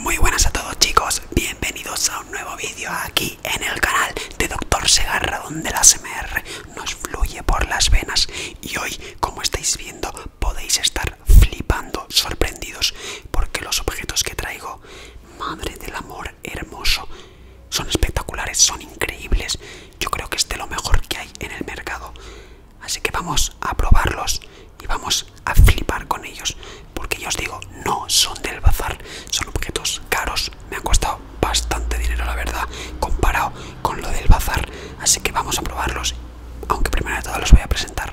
Muy buenas a todos chicos, bienvenidos a un nuevo vídeo aquí en el canal de Doctor Segarra donde las MR nos fluye por las venas y hoy como estáis viendo podéis estar flipando, sorprendidos porque los objetos que traigo, madre del amor hermoso, son espectaculares, son increíbles, yo creo que es lo mejor que hay en el mercado, Así que vamos a probarlos y vamos a flipar con ellos. Porque yo os digo, no son del bazar, son objetos caros. Me han costado bastante dinero, la verdad, comparado con lo del bazar. Así que vamos a probarlos, aunque primero de todo los voy a presentar.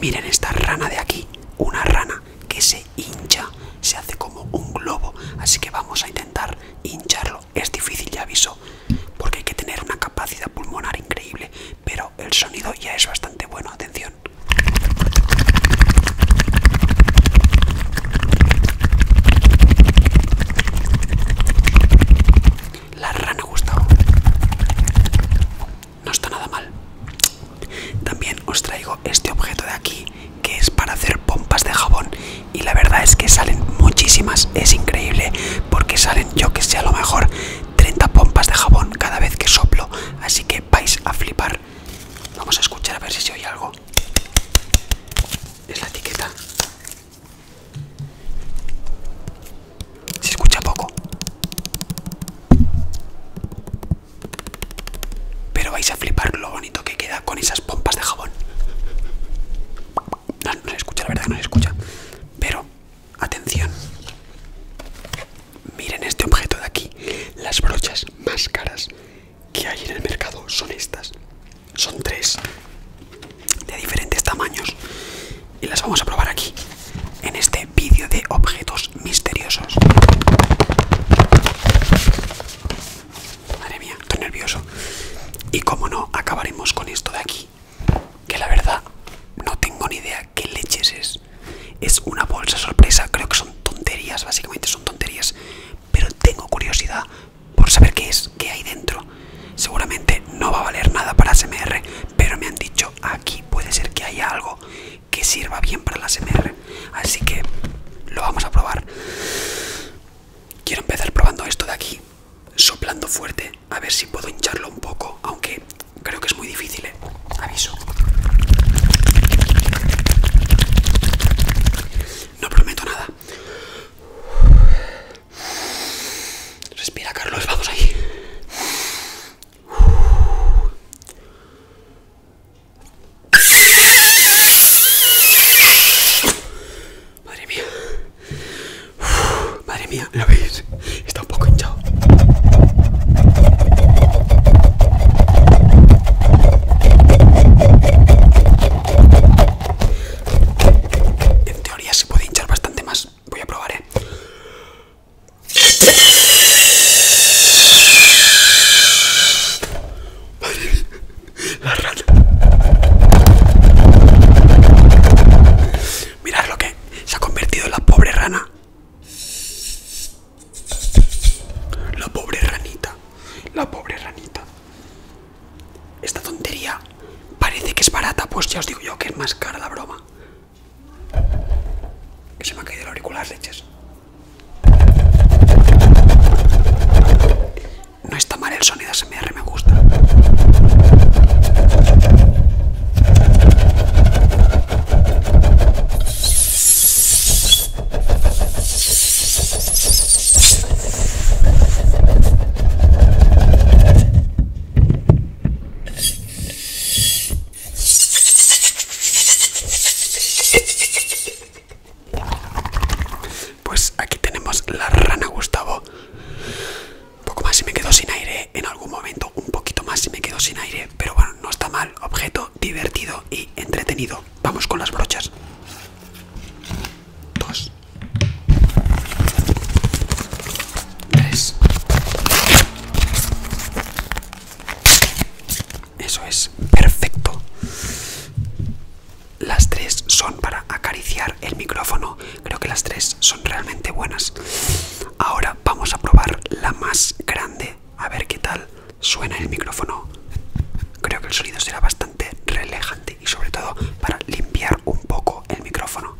Miren esta rana de aquí, una rana que se hincha, se hace como un globo. Así que vamos a intentar hincharlo. Es difícil, ya aviso, porque hay que tener una capacidad pulmonar increíble. Pero el sonido ya es bastante bueno, atención. La rana gustó. No está nada mal. También os traigo este objeto de aquí que es para hacer pompas de jabón y la verdad es que salen muchísimas, es increíble porque salen yo que sé a lo mejor 30 pompas de jabón cada vez que soplo, así que vais a flipar. Vamos a escuchar a ver si se oye algo. Es la etiqueta. Se escucha poco. Pero vais a flipar lo bonito que queda con esas pompas de jabón. No, se escucha, la verdad que no se escucha. Pero Atención. Miren este objeto de aquí. Las brochas más caras que hay en el mercado son estas. Son tres de diferentes tamaños y las vamos a probar aquí en este vídeo de objetos misteriosos. Madre mía, estoy nervioso. Y como no, acabaremos con esto de aquí. Que la verdad, no tengo ni idea qué leches es. Es una bolsa sorpresa, creo que son tonterías, básicamente son tonterías. Pero tengo curiosidad por saber qué es, qué hay dentro. Seguramente no va a valer nada para SMR, pero me han dicho aquí puede ser que haya algo que sirva bien para la SMR. Así que lo vamos a probar. Quiero empezar probando esto de aquí soplando fuerte a ver si puedo hincharlo un poco, aunque creo que es muy difícil, ¿eh? aviso. No prometo nada. Respira, Carlos, vamos ahí. Madre mía. madre mía, ¿lo veis? Está un poco hinchado. En teoría se puede hinchar bastante más. Voy a probar, ¿eh? La rana Mirad lo que se ha convertido en la pobre rana. La pobre ranita. La pobre ranita. Esta tontería parece que es barata, pues ya os digo yo que es más cara la broma. Que se me ha caído el auricular, leches. No está mal el sonido SMR, me gusta. Pues aquí tenemos la rana Gustavo. Un poco más y me quedo sin aire en algún momento, un poquito más y me quedo sin aire, pero bueno, no está mal. Objeto divertido y entretenido. Vamos con las brochas. Dos. Tres. Eso es perfecto. Las tres son para acariciar el micrófono. Creo que las tres son realmente buenas. Ahora vamos a probar la más grande. A ver qué tal suena el micrófono. Creo que el sonido será bastante relajante y sobre todo para limpiar un poco el micrófono.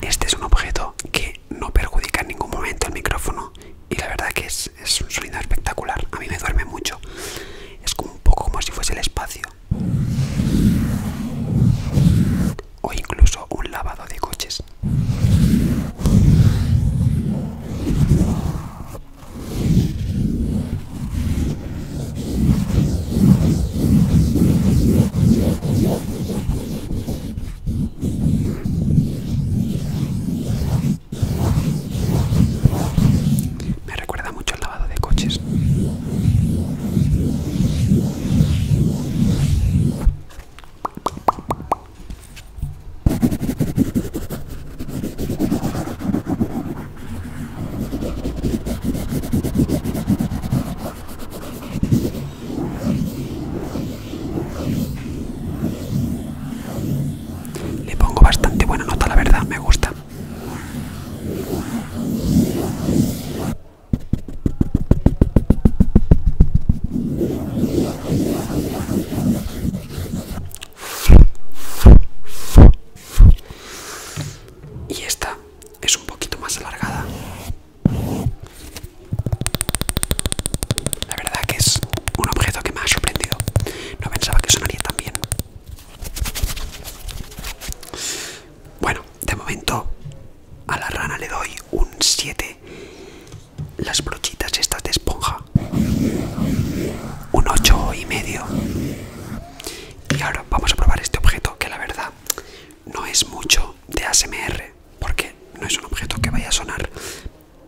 Este es un objeto que no perjudica en ningún momento el micrófono y la verdad que es, un sonido espectacular. A mí me duerme mucho. Es como un poco como si fuese el espacio o incluso un lavado de coches. Me recuerda mucho el lavado de coches. Le pongo bastante buena nota, la verdad, me gusta. Y esta es un poquito más alargada. La verdad que es un objeto que me ha sorprendido. No pensaba que sonaría tan bien. Bueno, de momento a la rana le doy un 7. Las brochitas estas de esponja. Un 8 y medio. Y ahora vamos a probar este objeto que la verdad no es mucho de ASMR. Porque no es un objeto que vaya a sonar.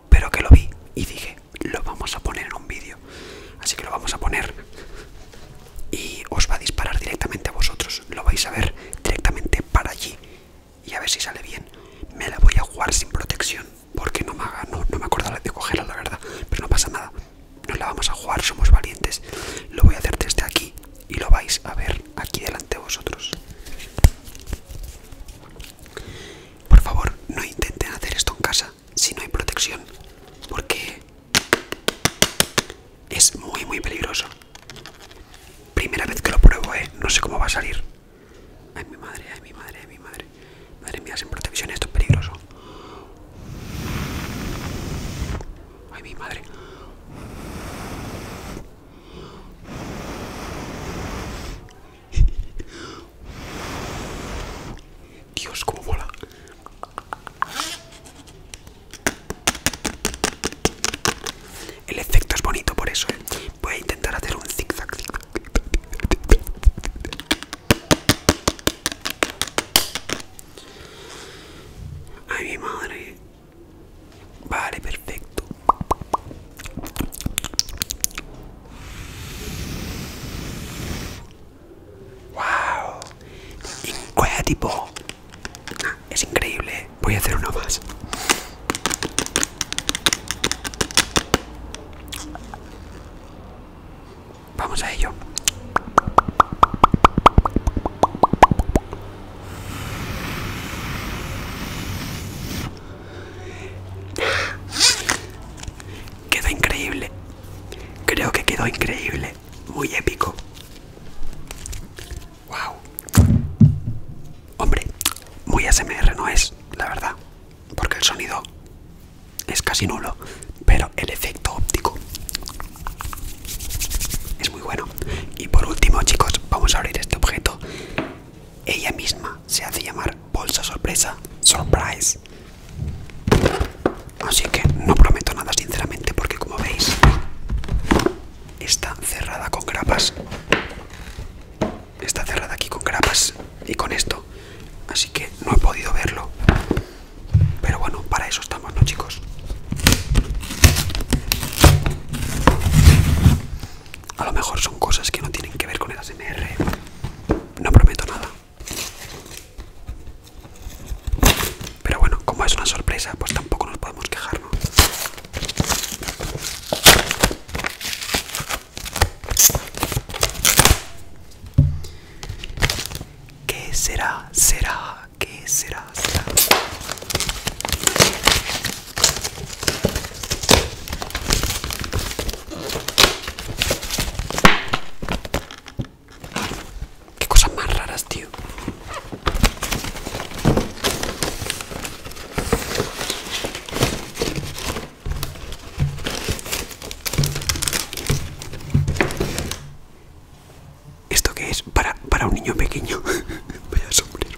Pero que lo vi y dije, lo vamos a poner en un vídeo. Así que lo vamos a poner y os va a disparar directamente a vosotros. Lo vais a ver directamente para allí y a ver si sale bien. Me la voy a jugar sin protección porque no me, haga, no, me acordaba de cogerla, la verdad, pero no pasa nada. No la vamos a jugar, somos valientes. Lo voy a hacer desde aquí y lo vais a ver aquí delante de vosotros. Por favor, no intenten hacer esto en casa si no hay protección porque es muy muy peligroso primera vez que lo pruebo ¿eh? no sé cómo va a salir ay mi madre ay mi madre ay mi madre madre mía sin protección esto es peligroso ay mi madre Dios, cómo mola. El efecto es bonito por eso, ¿eh? Voy a intentar hacer un zigzag. Ay, mi madre. Vale, perfecto. Wow, tipo, ah, Es increíble. Voy a hacer uno más. Vamos a ello. Quedó increíble. Creo que quedó increíble. Muy épico. Wow. Hombre, muy ASMR no es, la verdad. Porque el sonido es casi nulo. Pero el efecto óptico es muy bueno. Y por último, chicos, vamos a abrir este objeto. Ella misma se hace llamar bolsa sorpresa. Surprise. Así que no prometo nada sinceramente porque como veis está cerrada con grapas. Está cerrada aquí con grapas y con esto. Así que no he podido verlo. Pero bueno, para eso estamos, ¿no chicos? A lo mejor son cosas que no tienen que ver con el ASMR. No prometo nada. Pero bueno, como es una sorpresa, pues tampoco nos podemos quejar, ¿Qué será? ¿Será? ¿Qué será? ¿Será? Qué cosas más raras, tío. ¿Esto qué es? Para, para un niño pequeño. Vaya sombrero.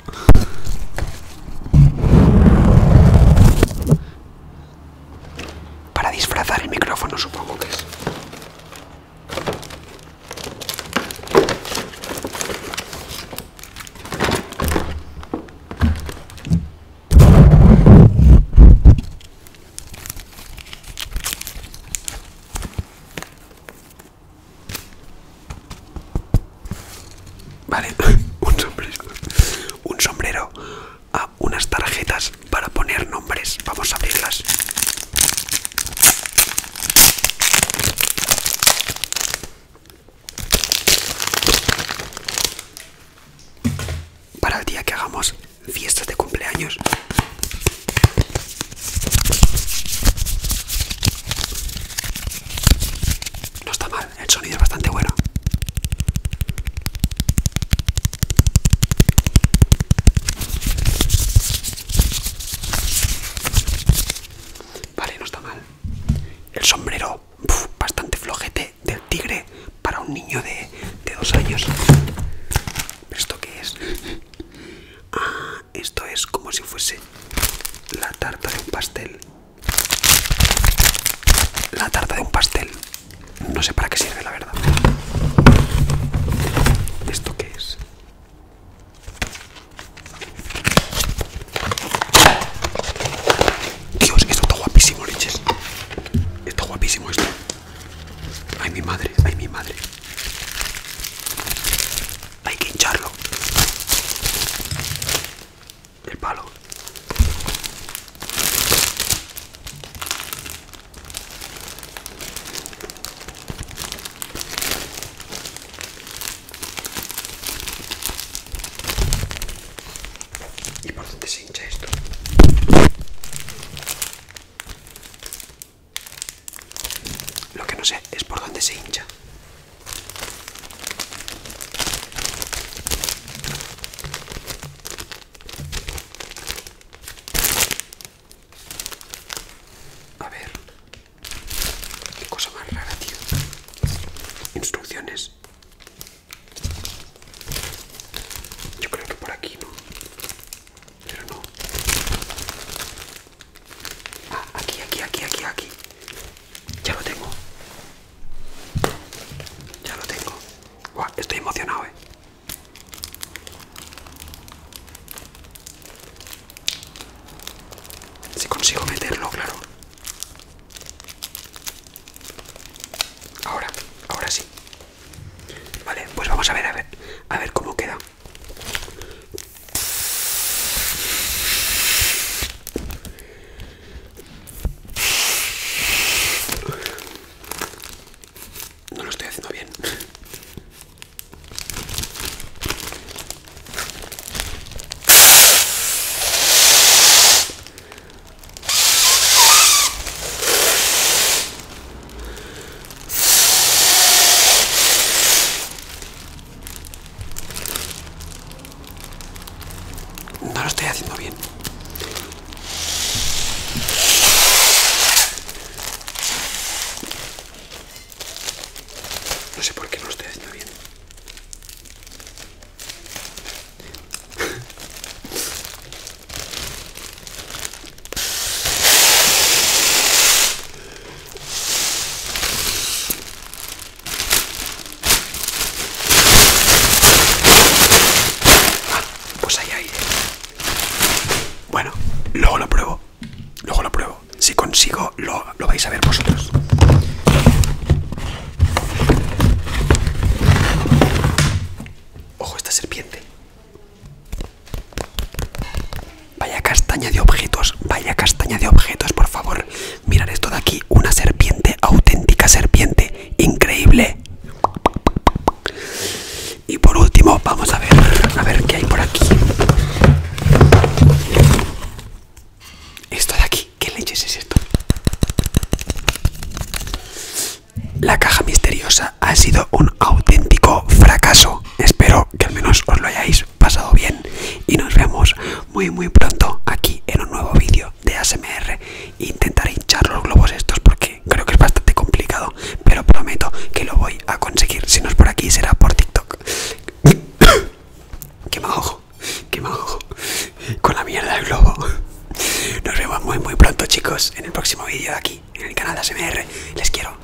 Para disfrazar el micrófono supongo que es. Vale, un un sombrero a unas tarjetas para poner nombres. Vamos a abrirlas. Para el día que hagamos fiestas de cumpleaños. No está mal el sonido es bastante bueno. Vale, no está mal. El sombrero, bastante flojete del tigre para un niño de, dos años. esto qué es? Ah, esto es como si fuese la tarta de un pastel. La tarta de un pastel. No sé para qué sirve, la verdad. ¿Esto qué es? Dios, esto está guapísimo, leches. Está guapísimo esto. Ay, mi madre, ay, mi madre. Hay que hincharlo el palo. ¿Y por dónde se hincha esto? Lo que no sé es por dónde se hincha. A ver, qué cosa más rara, tío. Instrucciones. Yo creo que por aquí no. Pero no. aquí, aquí, aquí, aquí, aquí. Ya lo tengo. Ya lo tengo. estoy emocionado, eh. Si consigo meterlo, claro. Ahora, ahora sí. Vale, pues vamos a ver, a ver, a ver cómo queda. No lo estoy haciendo bien. No lo estoy haciendo bien. No sé por qué no lo estoy haciendo bien pues ahí hay Bueno, luego lo pruebo. Luego lo pruebo. Si consigo, lo, lo vais a ver vosotros. Ojo, esta serpiente. Vaya castaña de objetos, vaya castaña de objetos, por favor. Mirad esto de aquí, una serpiente, auténtica serpiente, increíble. Y por último, vamos a ver, a ver qué hay por aquí. Esto de aquí, ¿qué leches es esto? La caja misteriosa ha sido un auténtico fracaso. Espero que al menos os lo hayáis pasado bien y nos vemos muy muy pronto aquí en un nuevo vídeo de ASMR. Intentar hinchar los globos estos porque creo que es bastante complicado, pero prometo que lo voy a conseguir. Si no es por aquí, será por TikTok. que me ojo que con la mierda del globo. Nos vemos muy muy pronto chicos en el próximo vídeo de aquí en el canal de ASMR. Les quiero.